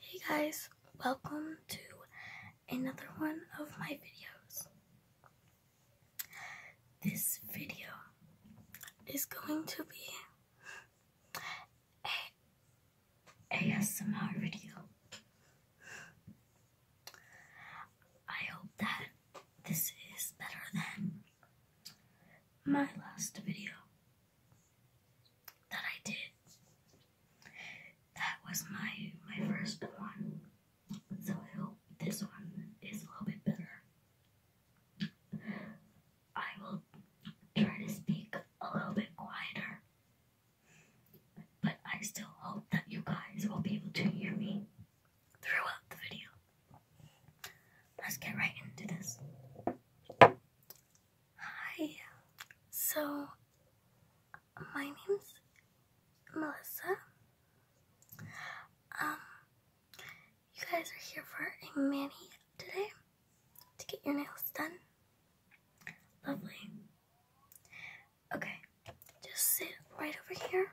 Hey guys, welcome to another one of my videos. This video is going to be a ASMR video. I hope that this is better than my last video that I did. That was my my first one. So I hope this one is a little bit better. I will try to speak a little bit quieter. But I still hope that you guys will be able to hear me throughout the video. Let's get right into this. Hi. So, my name's Melissa. Um, you guys are here for a mani today to get your nails done. Lovely. Okay, just sit right over here.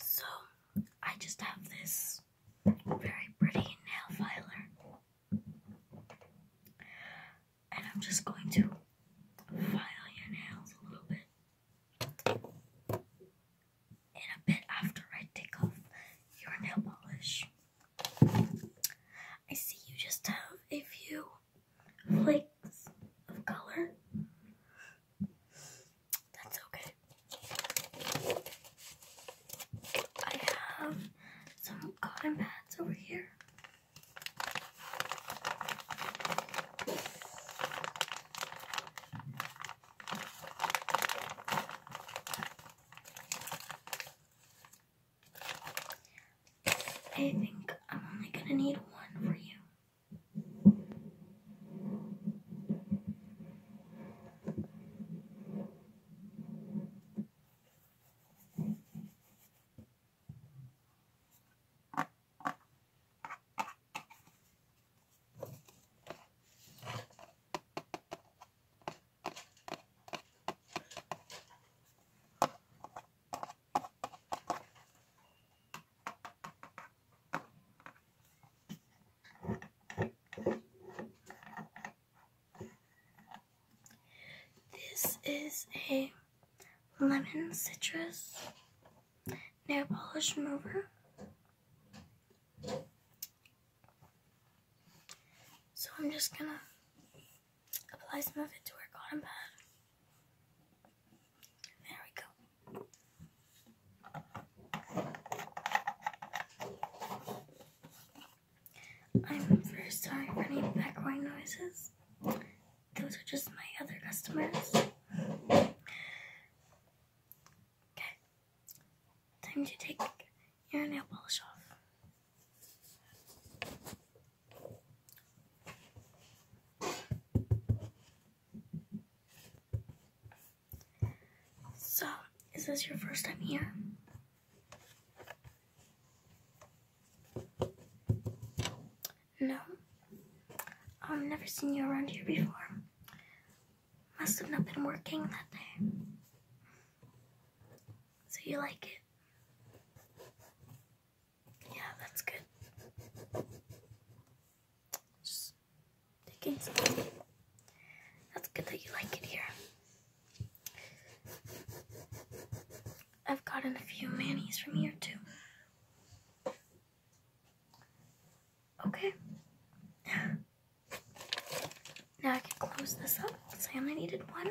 So, I just have this very pretty nail filer, and I'm just going to file your nails a little bit, and a bit after I take off your nail polish. I see you just have a few flakes of color. That's okay. I have some cotton pads over here. I think I'm only gonna need one for you. This is a lemon citrus nail polish remover. So I'm just gonna apply some of it to our cotton pad. There we go. I'm very sorry for any background noises. Those are just my other customers. Okay. Time to take your nail polish off. So, is this your first time here? No. I've never seen you around here before. Must have not been working that day. So you like it? Yeah, that's good. Just taking some. That's good that you like it here. I've gotten a few manis from here too. Okay. Now I can close this up. I only needed one.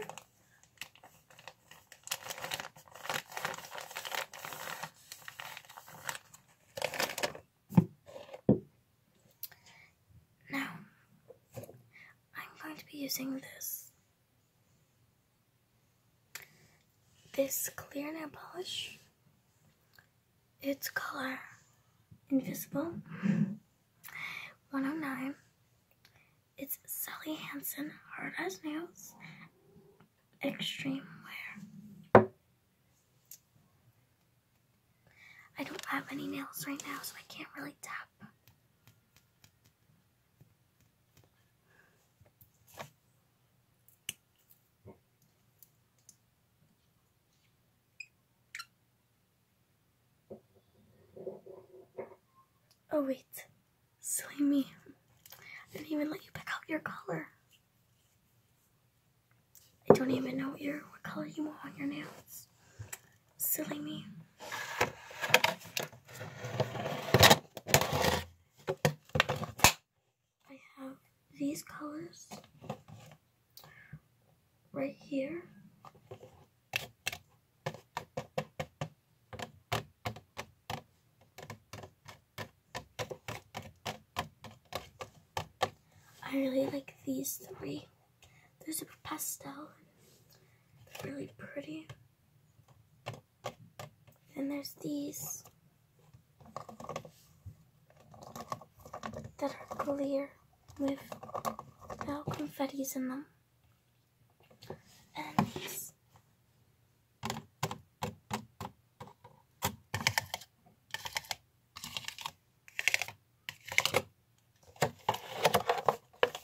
Now, I'm going to be using this. This clear nail polish its color Invisible 109. It's Sally Hansen Hard as Nails Extreme Wear. I don't have any nails right now, so I can't really tap. Oh wait, silly me. I didn't even let you pick out your color. I don't even know what, your, what color you want on your nails. Silly me. I have these colors right here. I really like these 3 There's a super pastel. really pretty. And there's these that are clear with no confettis in them. And these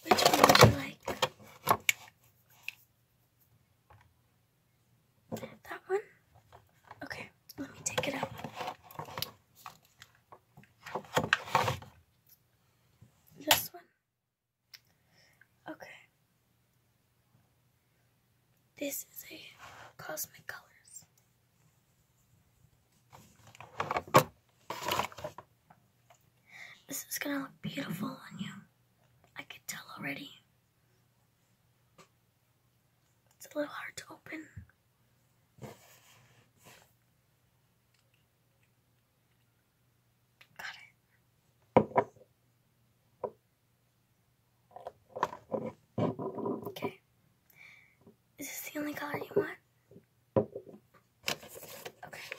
Which one would you like? That one? Okay. Let me take it out. This one. Okay. This is a Cosmic Colors. This is gonna look beautiful on you. I could tell already. It's a little hard to open. Got it. Okay. Is this the only color you want? Okay.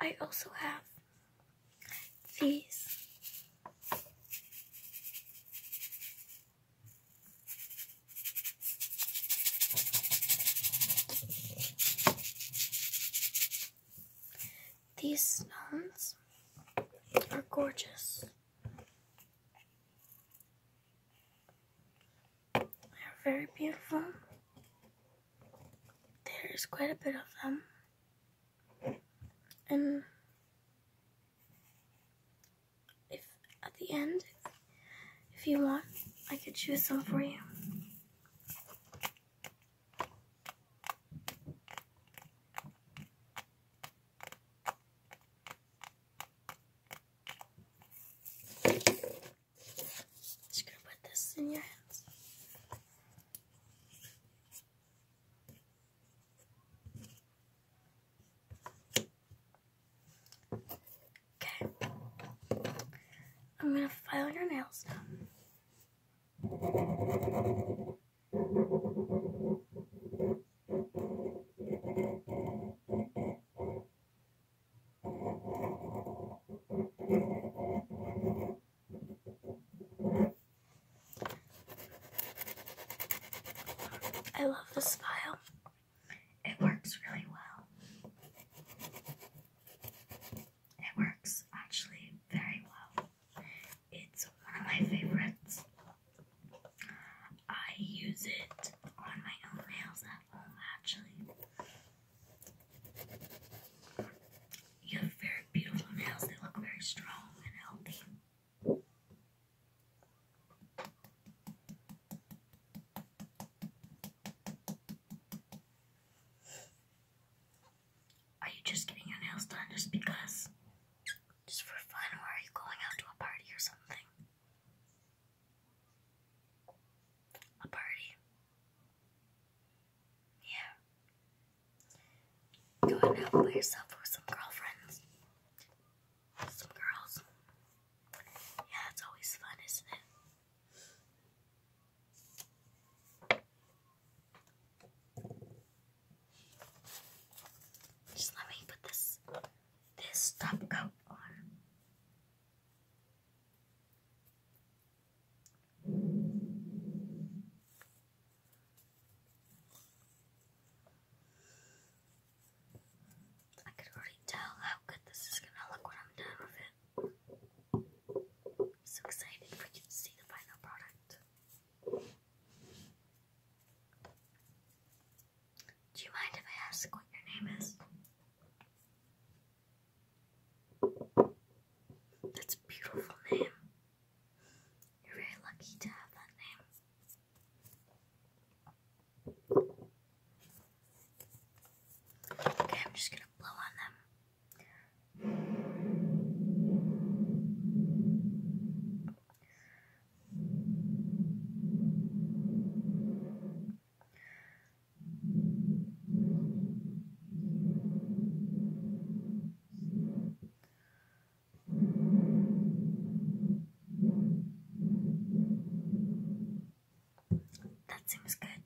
I also have these. These stones are gorgeous. They're very beautiful. There's quite a bit of them. And if at the end, if you want, I could choose some for you. Just gonna put this in your hands. Okay. I'm going to file your nails now. I love this file. It works really well. It works actually very well. It's one of my favorites. I use it on my own nails at home actually. You have very beautiful nails, they look very strong and healthy. Are you just getting your nails done just because? Just for fun, or are you going out to a party or something? A party? Yeah. Go ahead and have yourself with some girlfriends. Some girls. Yeah, it's always fun, isn't it? Just let me put this this top coat on. I could already tell how good this is gonna look when I'm done with it. I'm so excited for you to see the final product. Do you mind if I ask what your name is? That's a beautiful name. You're very lucky to have that name. Okay, I'm just gonna blow on them. That seems good.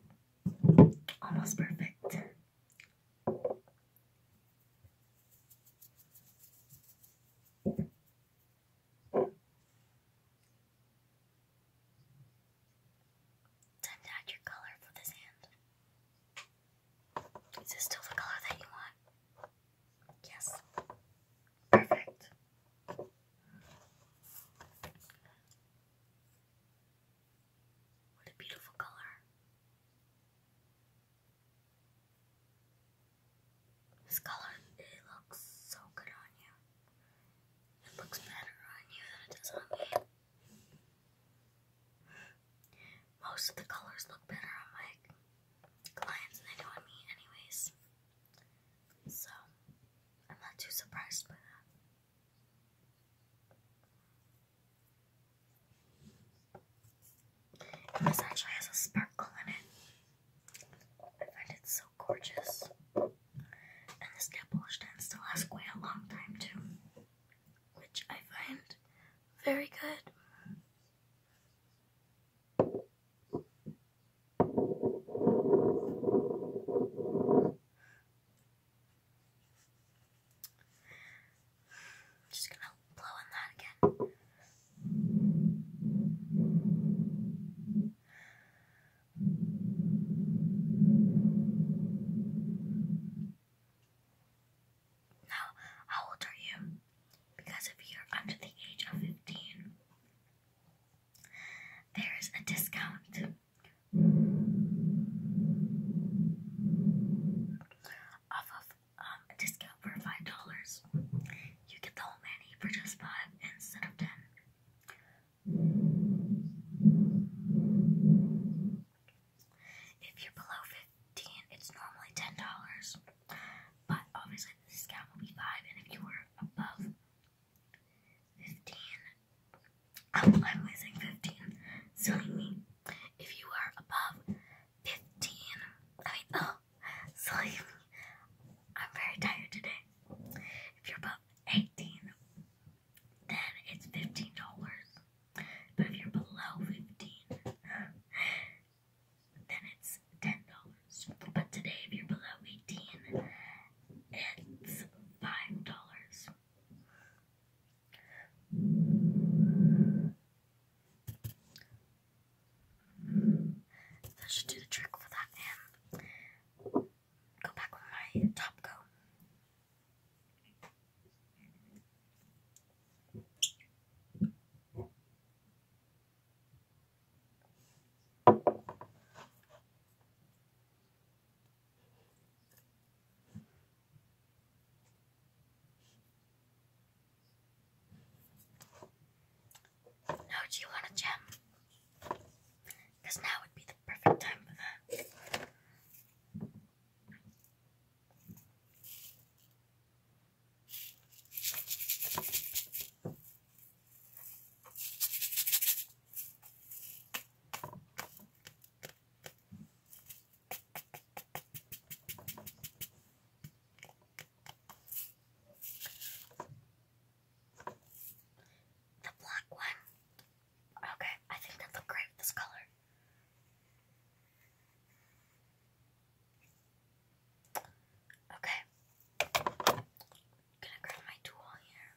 Almost perfect. Time to add your color for this hand. Is this still the color that you want? Yes. Perfect. What a beautiful color. This color, it looks so good on you. It looks better on you than it does on me. Most of the colors look better on my clients than they do on me anyways. So, I'm not too surprised by that. this actually has a sparkle in it. I find it so gorgeous. And this nail polish stand still has quite a long time too which I find very good. just gonna blow on that again. Now, how old are you? Because if you're under the age of 15, there is a discount off of um, a discount for five dollars. You get the whole many for just five instead of ten. If you're below 15 It's normally $10, but obviously the discount will be 5 And if you were above 15 I'm, i 15 Silly If you are above 15 I oh, I'm very tired today If you're above 18 then it's $15 but if you're below 15, um, then it's $10. But today, if you're below 18, it's $5. That should do the trick for that. And go back with my top coat. Now do you want a gem? Because now would be the perfect time for that. The black one. Okay, I think that looked great with this color. Okay. i grab my tool here.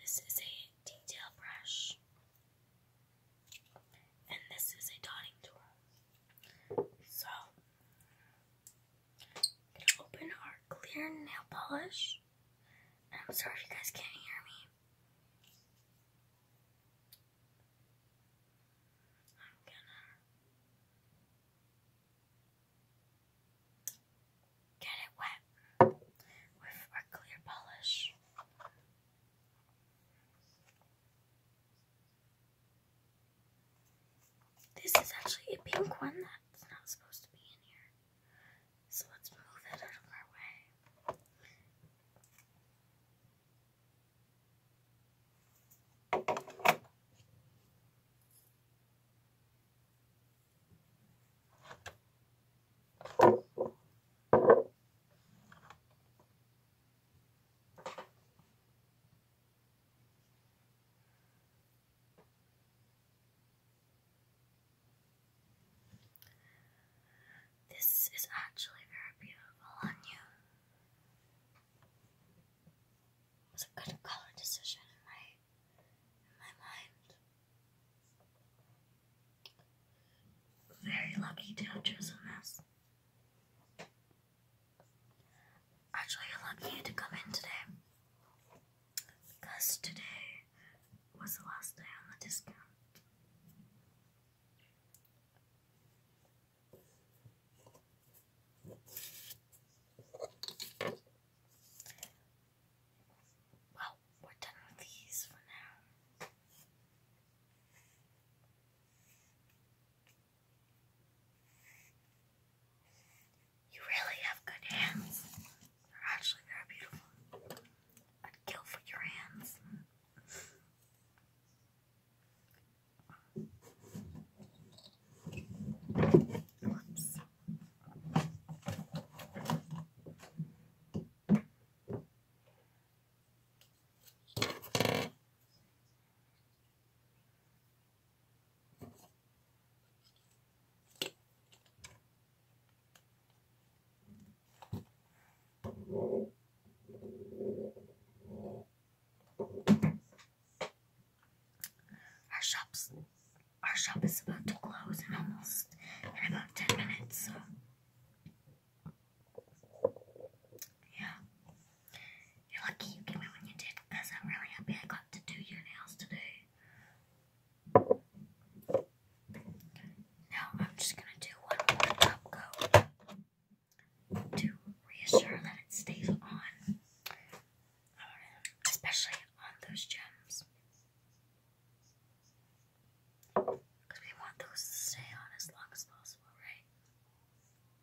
This is a detail brush, and this is a dotting tool. So, gonna open our clear nail polish. I'm sorry if you guys can't hear me. I'm gonna get it wet with our clear polish. This is actually a pink one that's not supposed to be in here. So let's move it out of our way. This is actually very beautiful on you. It was a good color decision in my in my mind. Very lucky to have chosen this. Actually, I want you to come in today because today was the last day on the discount. Well, we're done with these for now. You really have good hands. They're actually very beautiful. I'd kill for your hands. Our shops, our shop is about to close in almost about ten minutes. So, yeah. You're lucky you came in when you did, I'm really happy I got to do your nails today. Now I'm just gonna do one more top coat to reassure that it stays on, uh, especially on those gems. we want those to stay on as long as possible, right?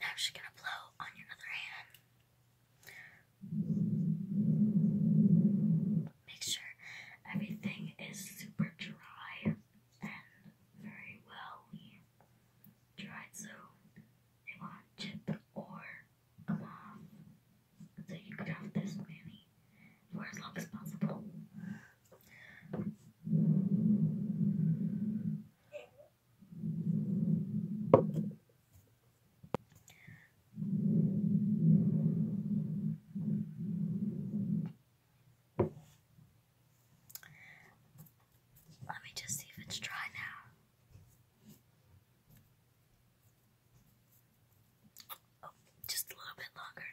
Now she's going to blow on your other hand. Make sure everything is super dry and very well dried so it won't chip or come off. So you could have this many for as long as possible. Let me just see if it's dry now. Oh, just a little bit longer.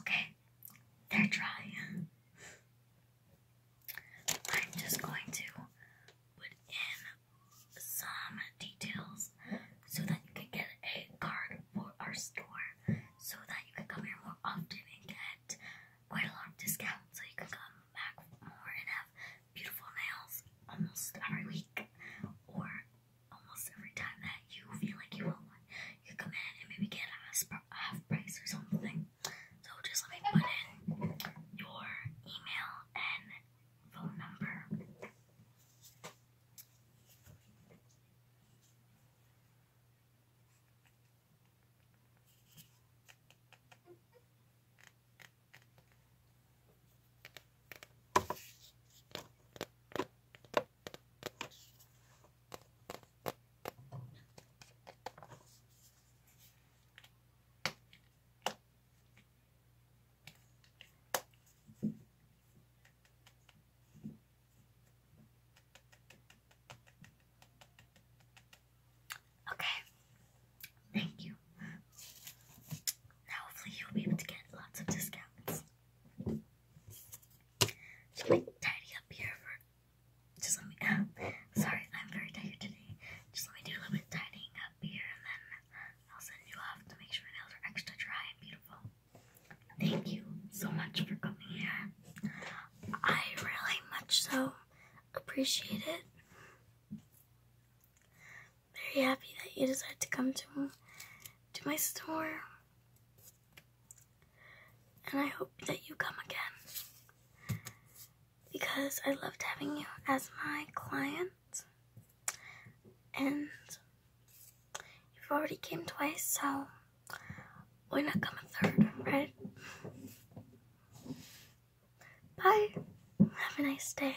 Okay, they're dry. I'm just going to put in some details so that you can get a card for our store so that you can come here more often and get quite a lot of discounts so you can come back more and have beautiful nails almost every week or almost every time that you feel like you want one, you come in and maybe get a half price or something. So just let me put in your email and phone number. Okay, Okay, thank you. Now, hopefully, you'll be able to get lots of discounts. So let me tidy up here just let me sorry, I'm very tired today. Just let me do a little bit tidying up here and then I'll send you off to make sure your nails are extra dry and beautiful. Thank you so much for coming here. I really much so appreciate it very happy that you decided to come to, to my store. And I hope that you come again. Because I loved having you as my client. And you've already came twice, so why not come a third, right? Bye. Have a nice day.